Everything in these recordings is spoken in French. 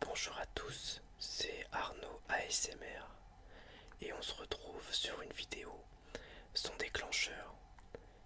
Bonjour à tous, c'est Arnaud ASMR et on se retrouve sur une vidéo, son déclencheur,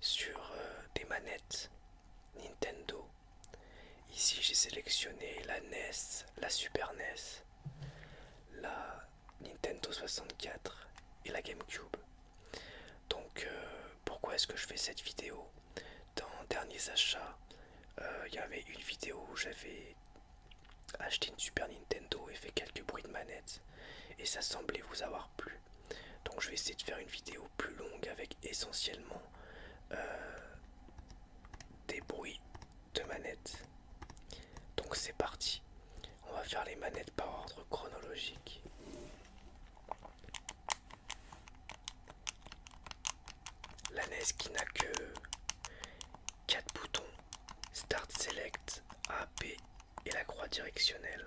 sur euh, des manettes Nintendo. Ici j'ai sélectionné la NES, la Super NES, la Nintendo 64 et la GameCube. Donc euh, pourquoi est-ce que je fais cette vidéo dans Derniers Achats, euh, il y avait une vidéo où j'avais acheté une Super Nintendo et fait quelques bruits de manette et ça semblait vous avoir plu. Donc je vais essayer de faire une vidéo plus longue avec essentiellement euh, des bruits de manettes. Donc c'est parti. On va faire les manettes par ordre chronologique. La NES qui n'a que quatre boutons, Start Select, A, B et la croix directionnelle.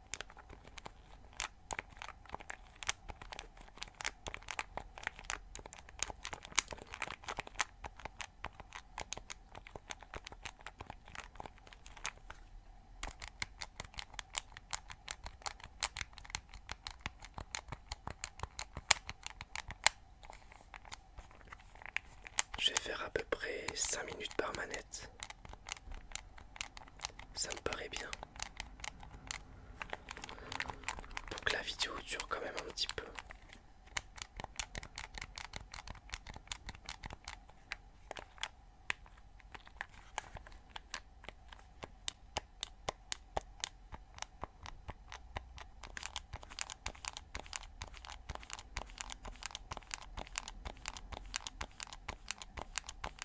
Je vais faire à peu près 5 minutes par manette. Ça me paraît bien. Pour la vidéo dure quand même un petit peu.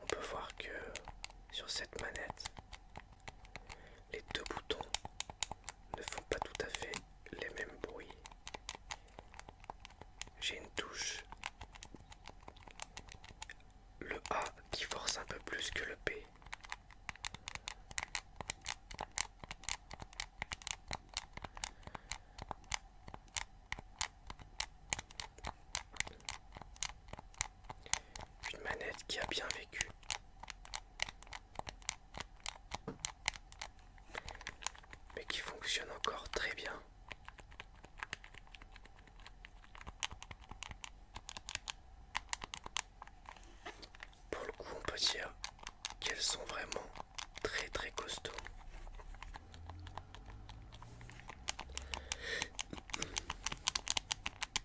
On peut voir que sur cette manette, les deux boutons ne font pas tout à fait les mêmes bruits. J'ai une touche, le A qui force un peu plus que le B. Une manette qui a bien vécu. Mais qui fonctionne encore très bien. Pour le coup, on peut dire qu'elles sont vraiment très très costauds.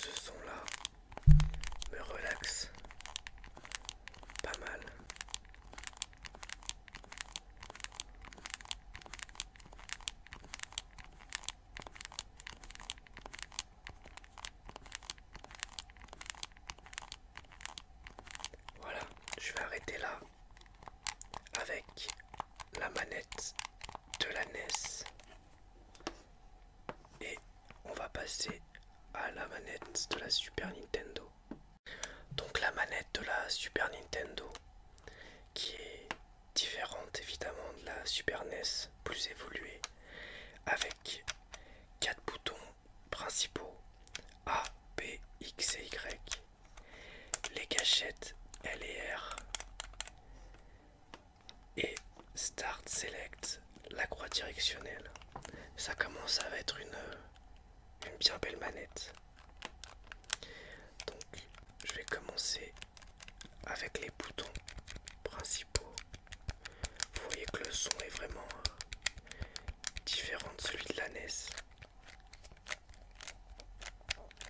Ce son-là me relaxe pas mal. Voilà, je vais arrêter là avec la manette de la NES. Et on va passer à la manette de la Super Nintendo. Donc la manette de la Super Nintendo qui est différente évidemment de la Super NES, plus évoluée, avec quatre boutons principaux A, B, X et Y, les gâchettes L et R, et Start Select la croix directionnelle. Ça commence à être une, une bien belle manette. Donc je vais commencer avec les boutons principaux. Vous voyez que le son est vraiment euh, différent de celui de la NES.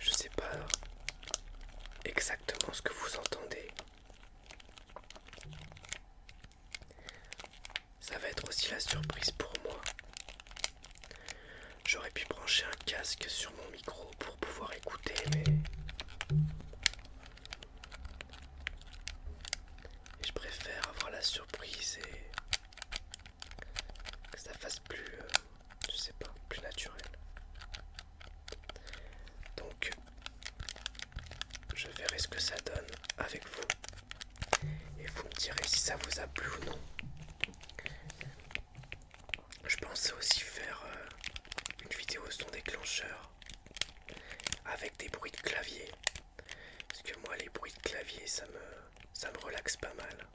Je sais pas exactement ce que vous entendez. Ça va être aussi la surprise pour moi. J'aurais pu brancher un casque sur mon micro pour pouvoir écouter, mais je préfère avoir la surprise et que ça fasse plus, euh, je sais pas, plus naturel. Donc, je verrai ce que ça donne avec vous et vous me direz si ça vous a plu ou non. Je pensais aussi faire euh, une vidéo son déclencheur avec des bruits de clavier. Parce que moi les bruits de clavier ça me ça me relaxe pas mal.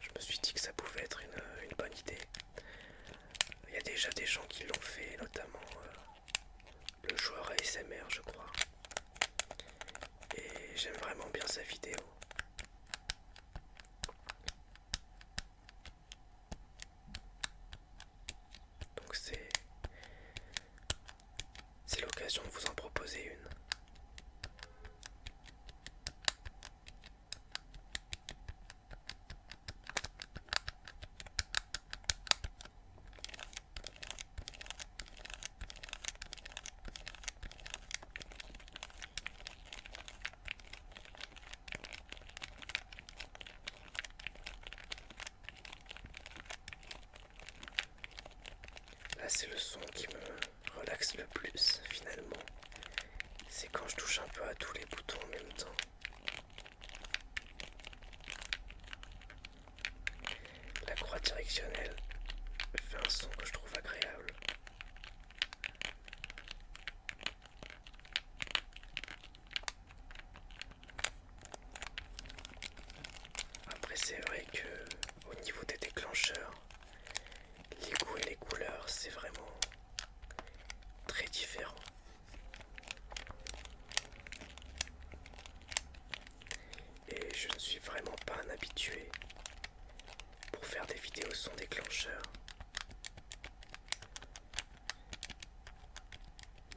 Je me suis dit que ça pouvait être une, bonne idée. Il y a déjà des gens qui l'ont fait, notamment euh, le joueur ASMR je crois. Et j'aime vraiment bien sa vidéo. Donc c'est c'est l'occasion de vous en proposer une. Là c'est le son qui me relaxe le plus finalement. C'est quand je touche un peu à tous les boutons en même temps. La croix directionnelle fait un son que je trouve agréable. Après c'est vrai que au niveau des déclencheurs, les goûts et les couleurs c'est vraiment très différent. Et je ne suis vraiment pas un habitué pour faire des vidéos sans déclencheur.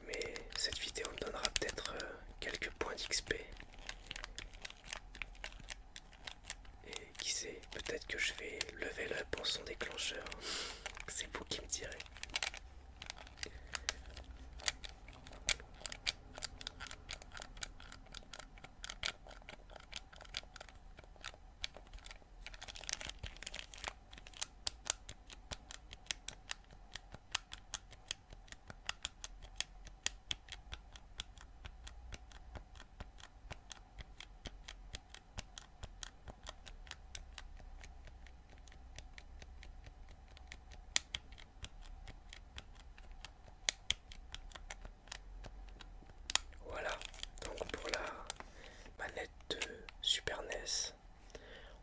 Mais cette vidéo me donnera peut-être euh, quelques points d'XP. Et qui sait, peut-être que je vais lever up en son déclencheur. C'est vous qui me direz. Voilà, donc pour la manette de Super NES.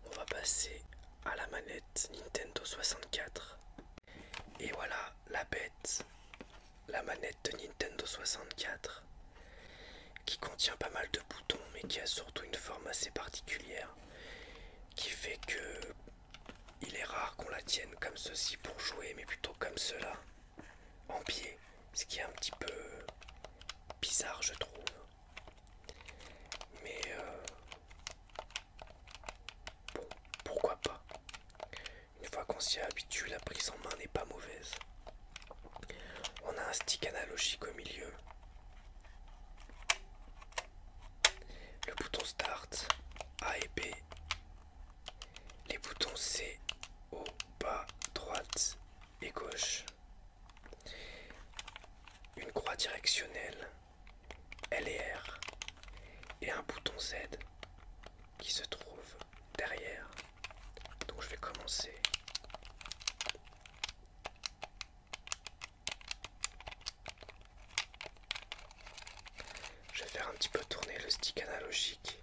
On va passer à la manette Nintendo 64. Et voilà la bête, la manette de Nintendo 64, qui contient pas mal de boutons, mais qui a surtout une forme assez particulière, qui fait que il est rare qu'on la tienne comme ceci pour jouer, mais plutôt comme cela en pied, ce qui est un petit peu bizarre je trouve. Mais euh, bon, pourquoi pas Une fois qu'on s'y habitue, la prise en main n'est pas mauvaise. On a un stick analogique au milieu. Le bouton Start, A et B. Les boutons C, au bas, droite et gauche. Une croix directionnelle L et R et un bouton Z qui se trouve derrière. Donc je vais commencer. Je vais faire un petit peu tourner le stick analogique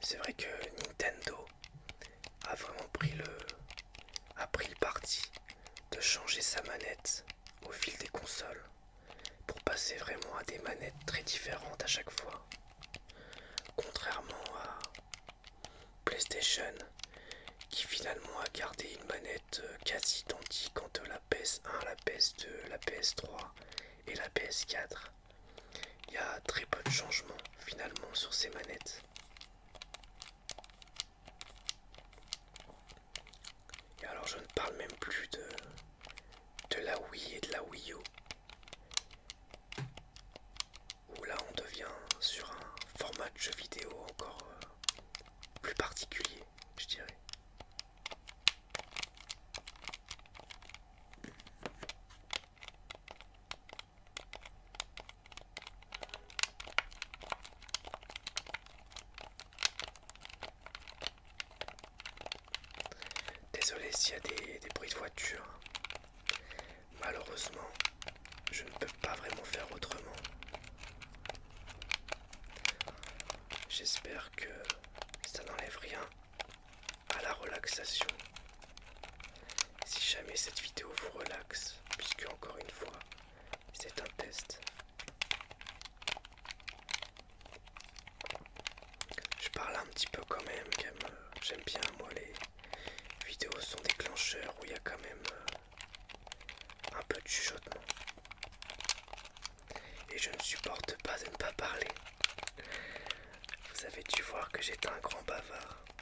C'est vrai que Nintendo a vraiment pris le, a pris le parti de changer sa manette au fil des consoles pour passer vraiment à des manettes très différentes à chaque fois. Contrairement à PlayStation qui finalement a gardé une manette euh, quasi identique entre la PS1, la PS2, la PS3 et la PS4 il y a très peu de changements finalement sur ces manettes. Et alors je ne parle même plus de, de la Wii et de la Wii U. Où là on devient sur un format de jeu vidéo encore euh, plus particulier, je dirais. Désolé s'il y a des, bruits de voiture. Malheureusement, je ne peux pas vraiment faire autrement. J'espère que ça n'enlève rien à la relaxation si jamais cette vidéo vous relaxe, puisque encore une fois, c'est un test. Je parle un petit peu quand même, euh, j'aime bien moi les vidéos sont déclencheurs où il y a quand même euh, un peu de chuchotement. Et je ne supporte pas de ne pas parler. Vous avez dû voir que j'étais un grand bavard.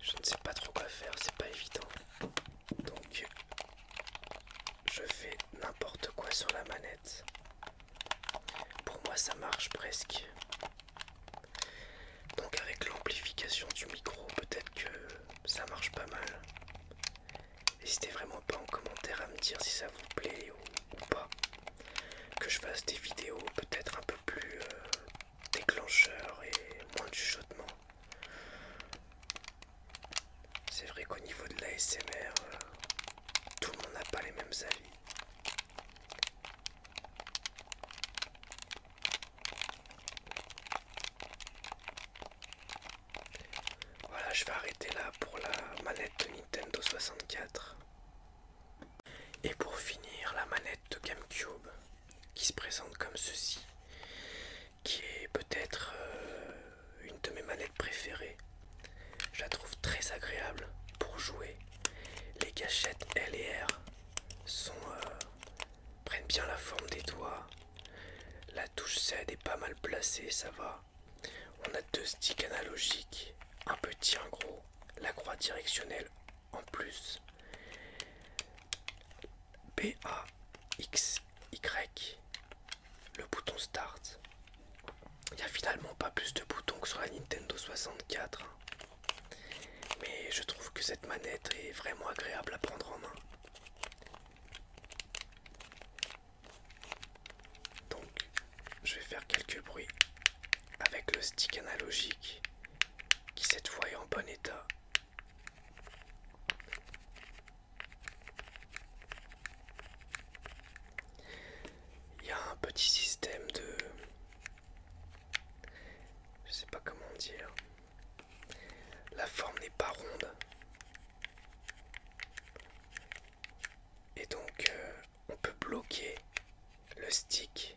Je ne sais pas trop quoi faire, c'est pas évident. Donc je fais n'importe quoi sur la manette. Pour moi ça marche presque. Donc avec l'amplification du micro, peut-être que ça marche pas mal. N'hésitez vraiment pas en commentaire à me dire si ça vous plaît ou, ou pas que je fasse des vidéos peut-être un peu plus euh, déclencheurs et moins de chuchotement. C'est vrai qu'au niveau de l'ASMR, euh, tout le monde n'a pas les mêmes avis. Voilà, je vais arrêter là pour la manette de Nintendo 64. Et pour finir, la manette de GameCube qui se présente comme ceci, qui est peut-être euh, une de mes manettes préférées. Je la trouve très agréable pour jouer. Les gâchettes L et R sont, euh, prennent bien la forme des doigts. La touche Z est pas mal placée, ça va. On a deux sticks analogiques, un petit, un gros, la croix directionnelle en plus. B-A-X-Y, le bouton Start. Il n'y a finalement pas plus de boutons que sur la Nintendo 64. Hein. Mais je trouve que cette manette est vraiment agréable à prendre en main. Donc je vais faire quelques bruits avec le stick analogique qui cette fois est en bon état. Il y a un petit système de... Je sais pas comment dire. La forme n'est pas ronde. Et donc euh, on peut bloquer le stick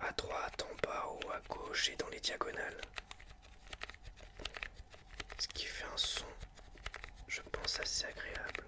à droite, en bas, ou à gauche et dans les diagonales. Ce qui fait un son, je pense, assez agréable.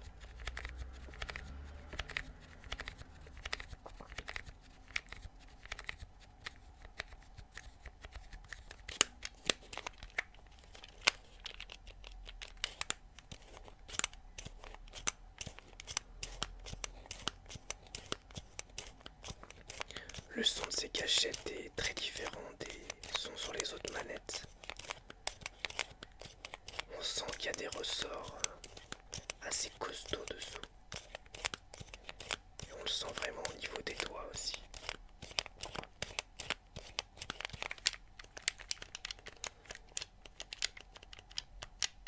Le son de ces cachettes est très différent des sons sur les autres manettes. On sent qu'il y a des ressorts assez costauds dessous. Et on le sent vraiment au niveau des doigts aussi.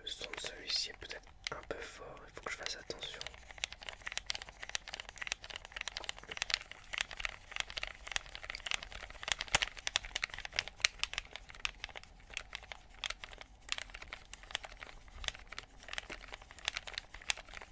Le son de celui-ci est peut-être un peu fort, il faut que je fasse attention.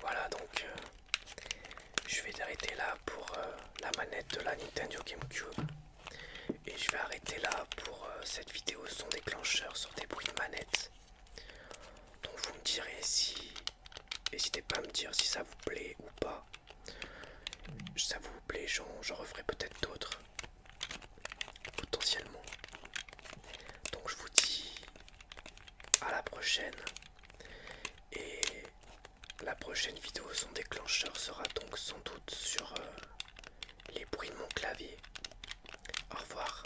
Voilà donc euh, je vais arrêter là pour euh, la manette de la Nintendo GameCube et je vais arrêter là pour euh, cette vidéo son déclencheur sur des bruits de manette. Donc vous me direz si N'hésitez pas à me dire si ça vous plaît ou pas. ça vous plaît, j'en referai peut-être d'autres. Potentiellement. Donc je vous dis à la prochaine. Et la prochaine vidéo, son déclencheur sera donc sans doute sur euh, les bruits de mon clavier. Au revoir.